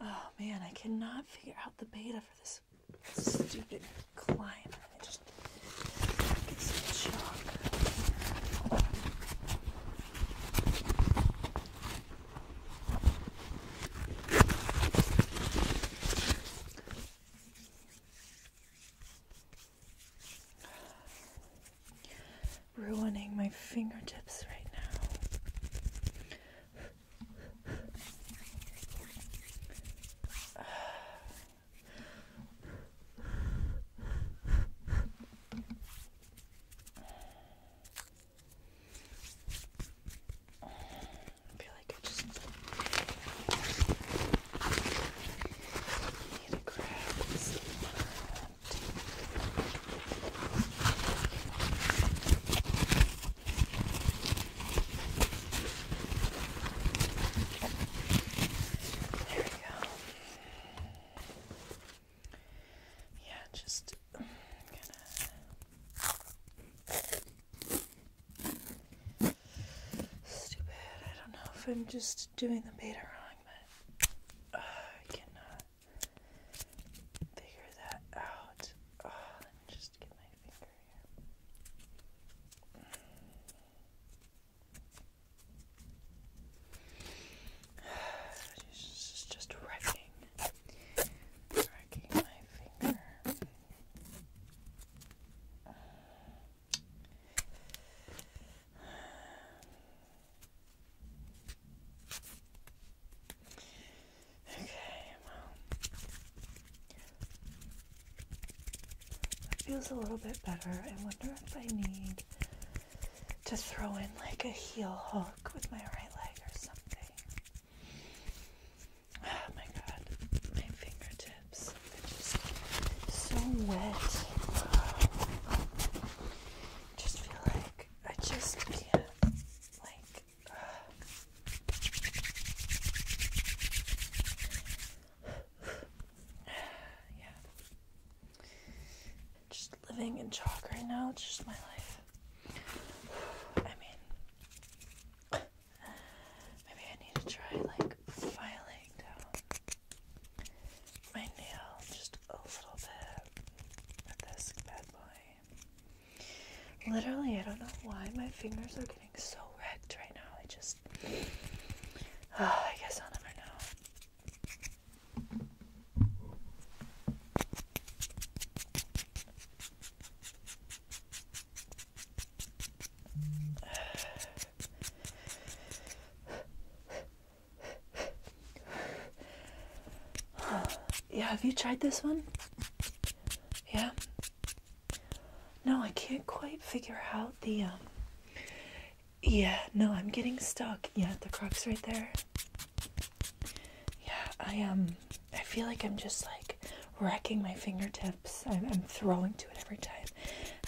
Oh man, I cannot figure out the beta for this stupid climb. Ruining my fingertips right now. I feel like I just need to grab there we go. Yeah, just kind of stupid. I don't know if I'm just doing the beta wrong, but uh, I cannot figure that out. Oh, just get my finger here. This is just wrecking, wrecking my finger. Okay, well, that feels a little bit better. I wonder if I need to throw in like a heel hook with my right leg or something. Oh my god, my fingertips are just so wet. Just feel like I just can't. Like, yeah. Just living in chalk right now, it's just my life. I mean, maybe I need to try like filing down my nail just a little bit with this bad Literally, I don't know why my fingers are getting so wrecked right now. I just. Uh, I guess I'll never know. yeah, have you tried this one? Yeah? No, I can't quite figure out the, um, yeah, no, I'm getting stuck. Yeah, the crux right there. Yeah, I, am. Um, I feel like I'm just, like, wrecking my fingertips. I'm, I'm throwing to it every time.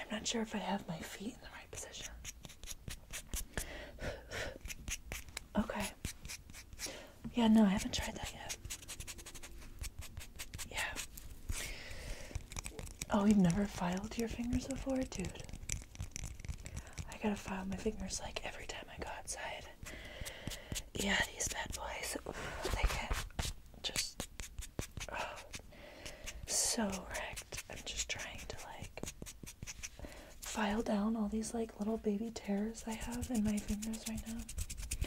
I'm not sure if I have my feet in the right position. okay. Yeah, no, I haven't tried that yet. Yeah. Oh, you've never filed your fingers before? Dude. I gotta file my fingers like every time I go outside. Yeah, these bad boys, they get just so wrecked. I'm just trying to like file down all these like little baby tears I have in my fingers right now.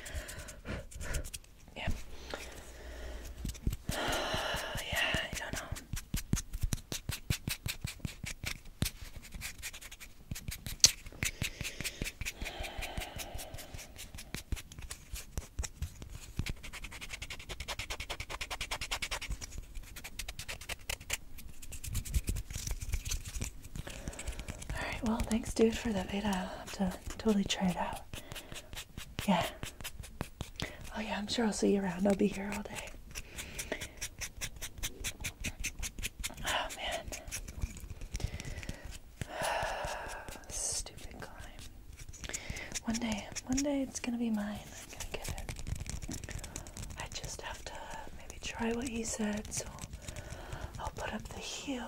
yeah. yeah, I don't know. Alright, well, thanks, dude, for the beta. I'll have to totally try it out. Yeah. Oh, yeah, I'm sure I'll see you around. I'll be here all day. Oh, man. Stupid climb. One day, one day it's gonna be mine. I'm gonna get it. I just have to maybe try what he said, so I'll put up the heel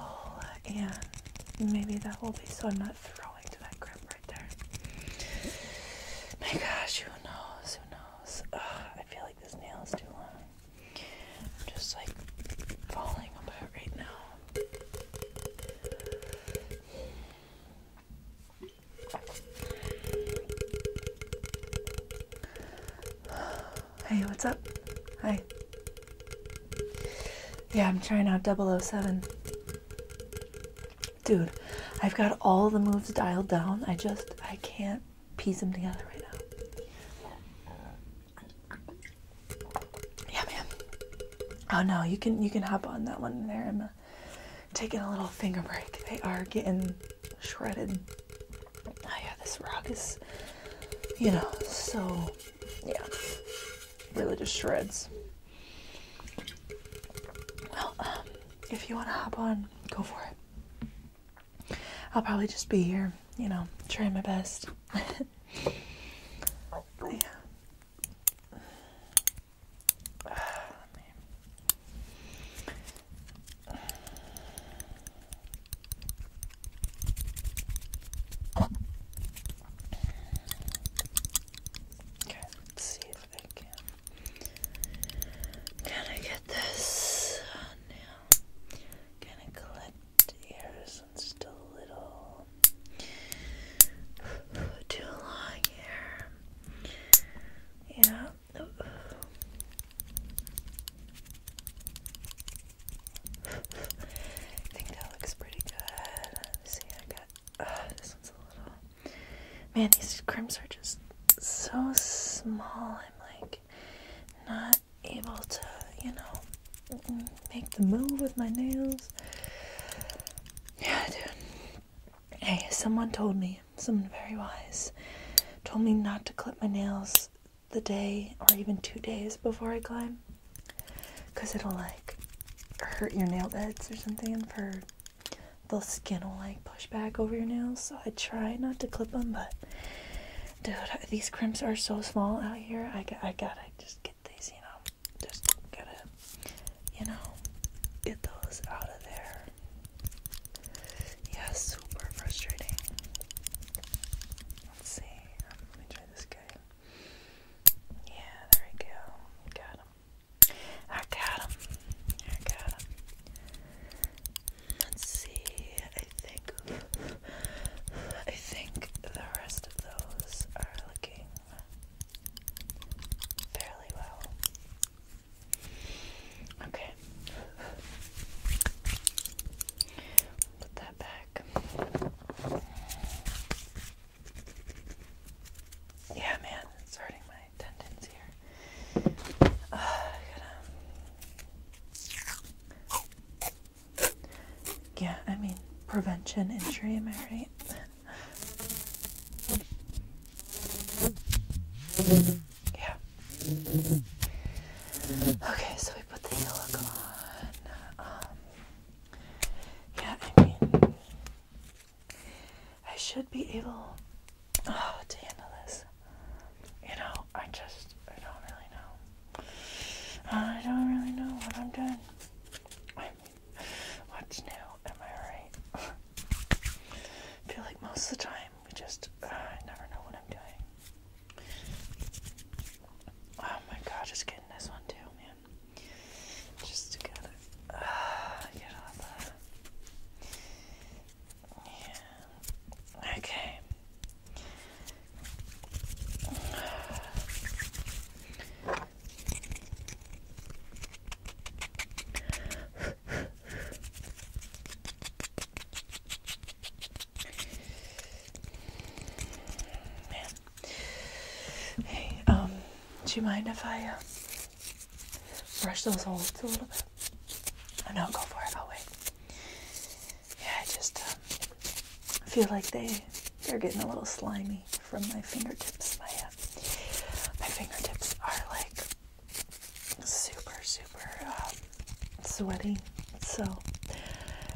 and maybe that will be so I'm not throwing to that grip right there. My gosh, who knows? Who knows? I feel like this nail is too long. I'm just like falling apart right now. Hey, what's up? Hi. Yeah, I'm trying out 007. Dude, I've got all the moves dialed down. I just, I can't piece them together right now. Yeah, man. Oh no, you can you can hop on that one there. I'm taking a little finger break. They are getting shredded. Oh yeah, this rug is, you know, so, yeah, really just shreds. Well, um, if you want to hop on, go for it. I'll probably just be here, you know, try my best. yeah. Okay, let's see if I can. Can I get this on now? Can collect ears and a little too long hair? Yeah, I think that looks pretty good. see, I got. Uh, this one's a little. Man, these crimps are just so small. I'm like not able to, you know, make the move with my nails. Yeah, dude. Hey, someone told me, someone very wise, told me not to clip my nails the day or even two days before I climb. Because it'll like hurt your nail beds or something, for the skin will like push back over your nails. So I try not to clip them, but dude, these crimps are so small out here. I, I gotta just get these, you know, just gotta, you know, get those out of there. Yeah, super frustrating. Let's see. Um, let me try this guy. Yeah, there we go. Got him. I got him. I got him. Let's see. I think. I think the rest of those are looking fairly well. Okay. Put that back. Yeah, man, it's hurting my tendons here. Yeah, I mean, prevention injury, am I right? Yeah. Okay, so we put the yolk on. Um, yeah, I mean, I should be able oh, to handle this. You know, I just, I don't really know. I don't really know what I'm doing. what's new? Am I right? I feel like most of the time we just, I uh, never know what I'm doing. Oh my god, just getting this one too, man. Just to get it, uh, get all that. Yeah. Okay. Man. Hey, um, do you mind if I uh, brush those holes a little bit? Oh, no, go for it. I'll wait. Yeah, I just um, feel like they they're getting a little slimy from my fingertips. My uh, my fingertips are like super, super um, sweaty. So,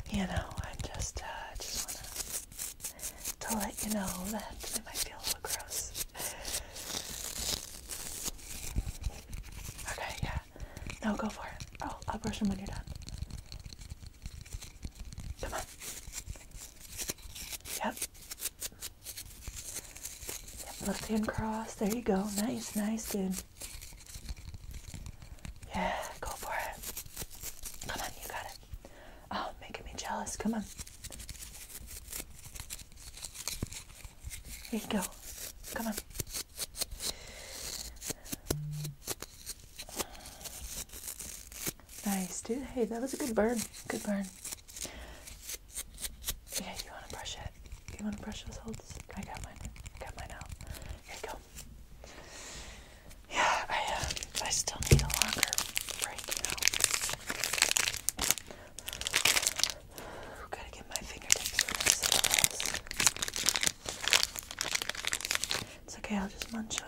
you know, I'm just, I uh, just wanna to let you know that it might feel a little gross. Okay, yeah. No, go for it. Oh, I'll brush them when you're done. Come on. Yep. Yep, left hand cross. There you go. Nice, nice, dude. Yeah, go for it. Come on, you got it. Oh, making me jealous. Come on. Here you go. Come on. Nice, dude. Hey, that was a good burn. Good burn. Yeah, you wanna brush it? You wanna brush those holes? I got mine. I got mine out. Here go. Yeah, I uh, I still need a longer break, you gotta get my fingertips It's okay, I'll just munch on.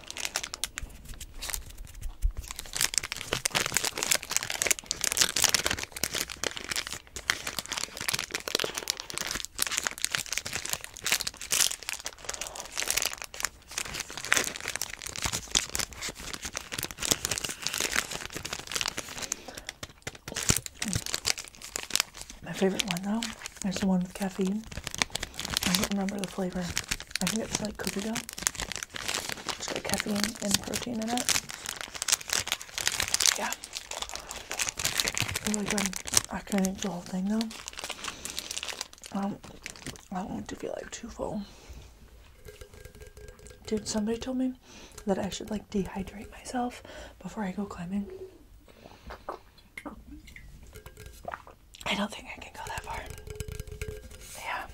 My favorite one though is the one with caffeine. I don't remember the flavor. I think it's like coffee dough. It's got caffeine and protein in it. Yeah. Really oh good. I can't eat the whole thing though. Um, I don't want to feel like too full. Dude, somebody told me that I should like dehydrate myself before I go climbing. I don't think I can go that far. Yeah.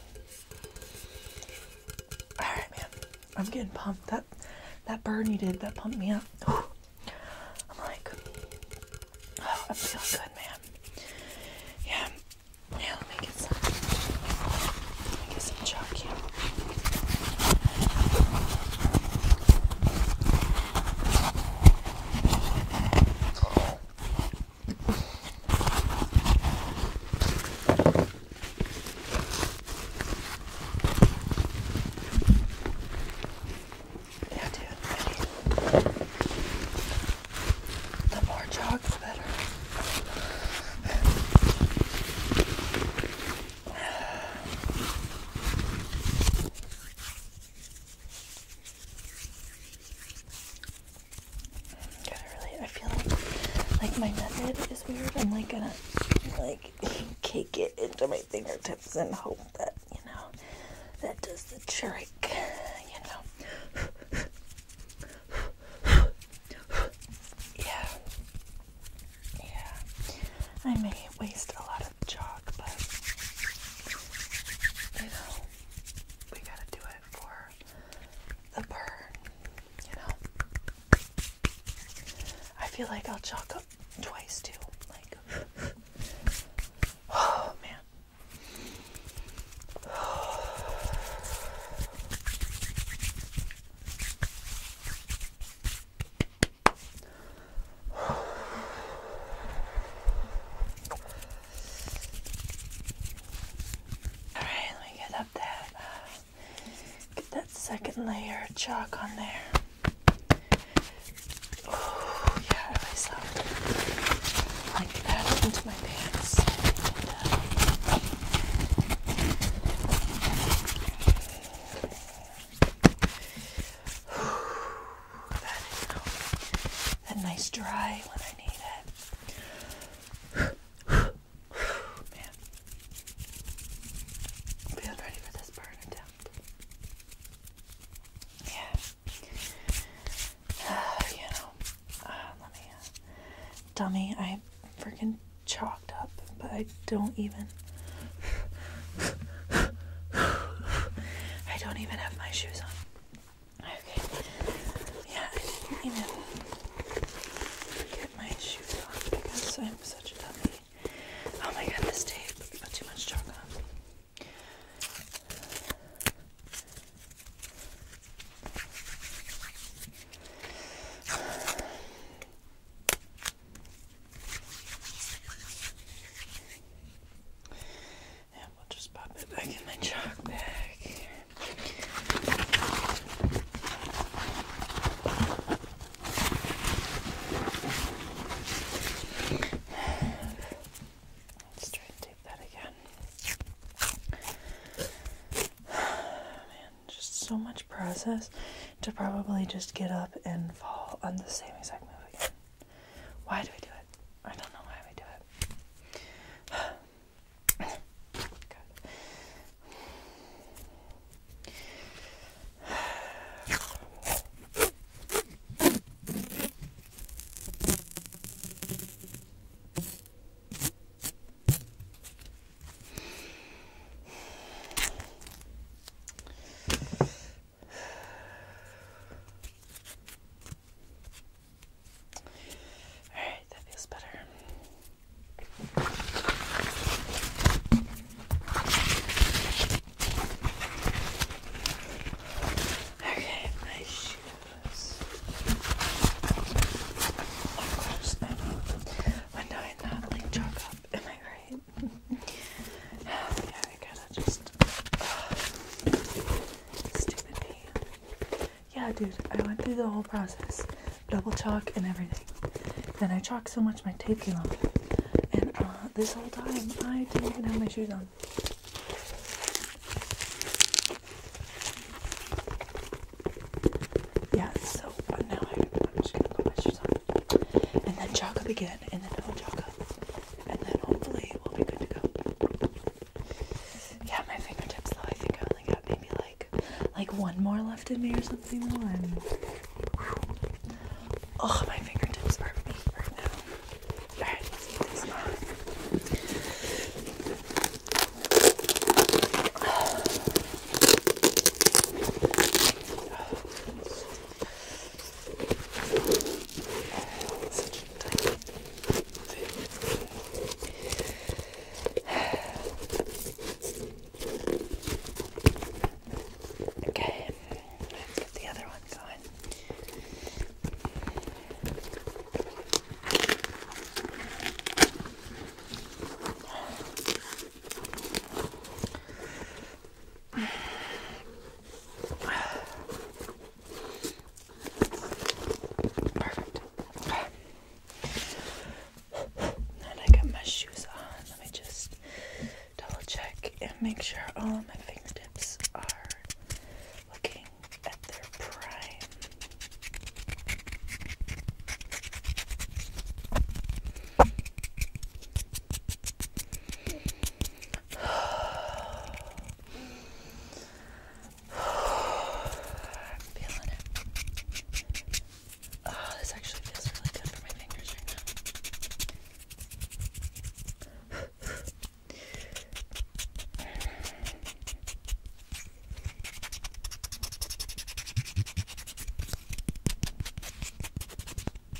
Alright man. I'm getting pumped. That that burn you did, that pumped me up. I'm like oh, I'm good, man. Yeah. Yeah, let me get some let me get some chalk here. Yeah, dude, I mean, the more chalk, the better. I feel like my method is weird. I'm like gonna like cake it into my fingertips and hope that you know that does the trick. You know. yeah. Yeah. I may waste a lot of jar but you know, we gotta do it for the burn, you know. I feel like I'll chalk up twice too. Like, oh man. Alright, let me get up that. Uh, get that second layer of chalk on there. Oh, yeah, I really soft. Like that into my pants. Uh, that nice dry when I need it. Man, I'm ready for this burn attempt. Yeah, you know, uh, let me, uh, dummy, I freaking chalked up, but I don't even. I don't even have my shoes on. Okay. Yeah, I didn't even get my shoes on because I'm such a dummy. Oh my god, this tape too much chalk and we'll just pop it back in my chalk bag. Let's try and take that again. Man, just so much process to probably just get up and fall on the same exact move Why do we do it? I don't know why we do it. Alright, that feels better. Okay, my shoes. Of course, I know. When do I not like chalk up? Am I right? yeah, dude, I went through the whole process. Double chalk and everything. Then I chalked so much my tape came off. And uh, this whole time, I didn't even have my shoes on. Yeah, so fun now I, am just gonna put my shoes on. And then chalk up again, and then double chalk up and then hopefully we'll be good to go. Yeah, my fingertips though, I think I only got maybe like like one more left in me or something though. I'm Oh my fingertips are me right now. Alright, let's put these on. Such a Okay, let's get the other one going. Perfect. Okay. I got my shoes on. Let me just double check and make sure all of my fingertips are looking at their prime. I'm feeling it. Oh, this actually feels really good for my fingers right now. Okay.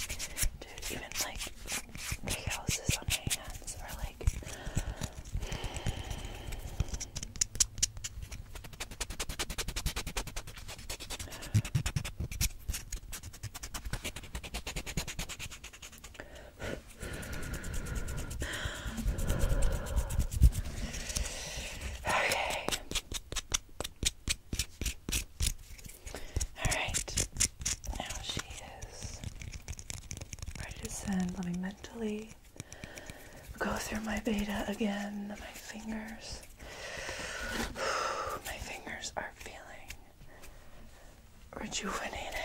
Dude, even like the houses on my hands are like Okay. All right. Now she is ready to send. Let me mentally go through my beta again. My fingers. my fingers are feeling rejuvenated.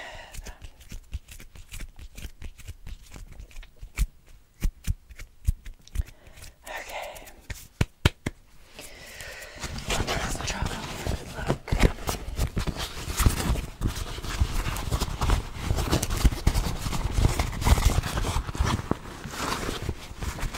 Okay. Let's try a look.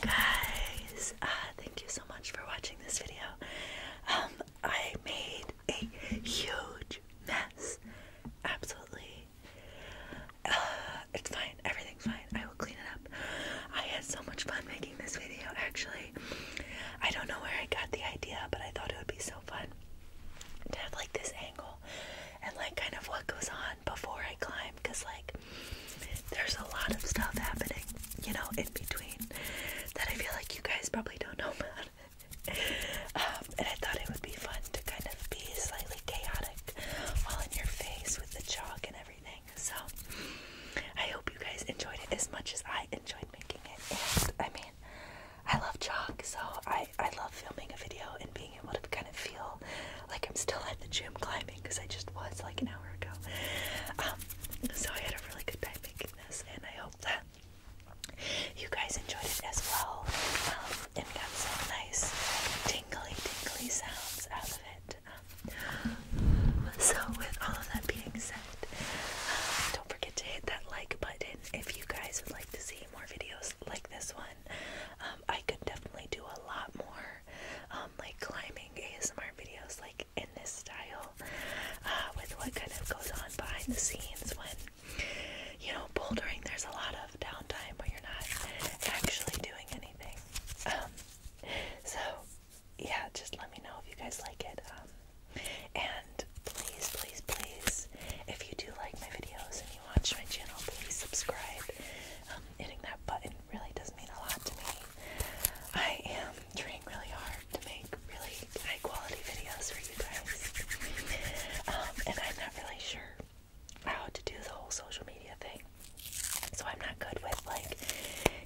Guys, uh, thank you so much for watching this video. Um, I made a huge mess. Absolutely. Uh, it's fine. Everything's fine. I will clean it up. I had so much fun making this video, actually. I don't know where I got the idea, but I thought it would be so fun to have like this and like kind of what goes on before I climb because like there's a lot of stuff happening, you know, in between that I feel like you guys probably don't know about. Um, and I thought it would be fun to kind of be slightly chaotic all in your face with the chalk and everything. So I hope you guys enjoyed it as much as I enjoyed making it. And I mean, I love chalk, so I, I love filming a video and being able to kind of feel like I'm still at the gym climbing because I just was like an hour ago. Um, so I had a really good time making this, and I hope that you guys enjoyed it as well um, and got some nice tingly, tingly sounds out of it. so, with all of that being said, um, don't forget to hit that like button if you guys would like to see more videos like this one. Um, I could definitely do a lot more um, like climbing ASMR videos like in this style uh, with what kind of goes on behind the scenes when you know bouldering there's a lot of downtime where you're not actually doing anything um, so yeah just let me know if you guys like it and please please please if you do like my videos you watch my channel, please subscribe. Um, hitting that button really does mean a lot to me. I am trying really hard to make really high quality videos for you guys. Um, and I'm not really sure how to do the whole social media thing. So I'm not good with like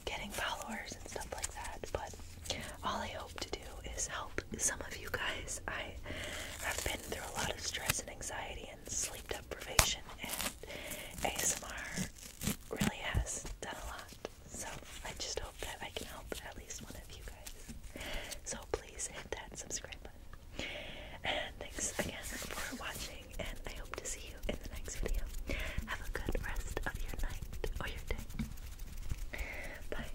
getting followers and stuff like that. But all I hope to do is help some of you guys. I have been through a lot of stress and anxiety sleep deprivation and ASMR really has done a lot. So I just hope that I can help at least one of you guys. So please hit that subscribe button. And thanks again for watching and I hope to see you in the next video. Have a good rest of your night or your day. Bye.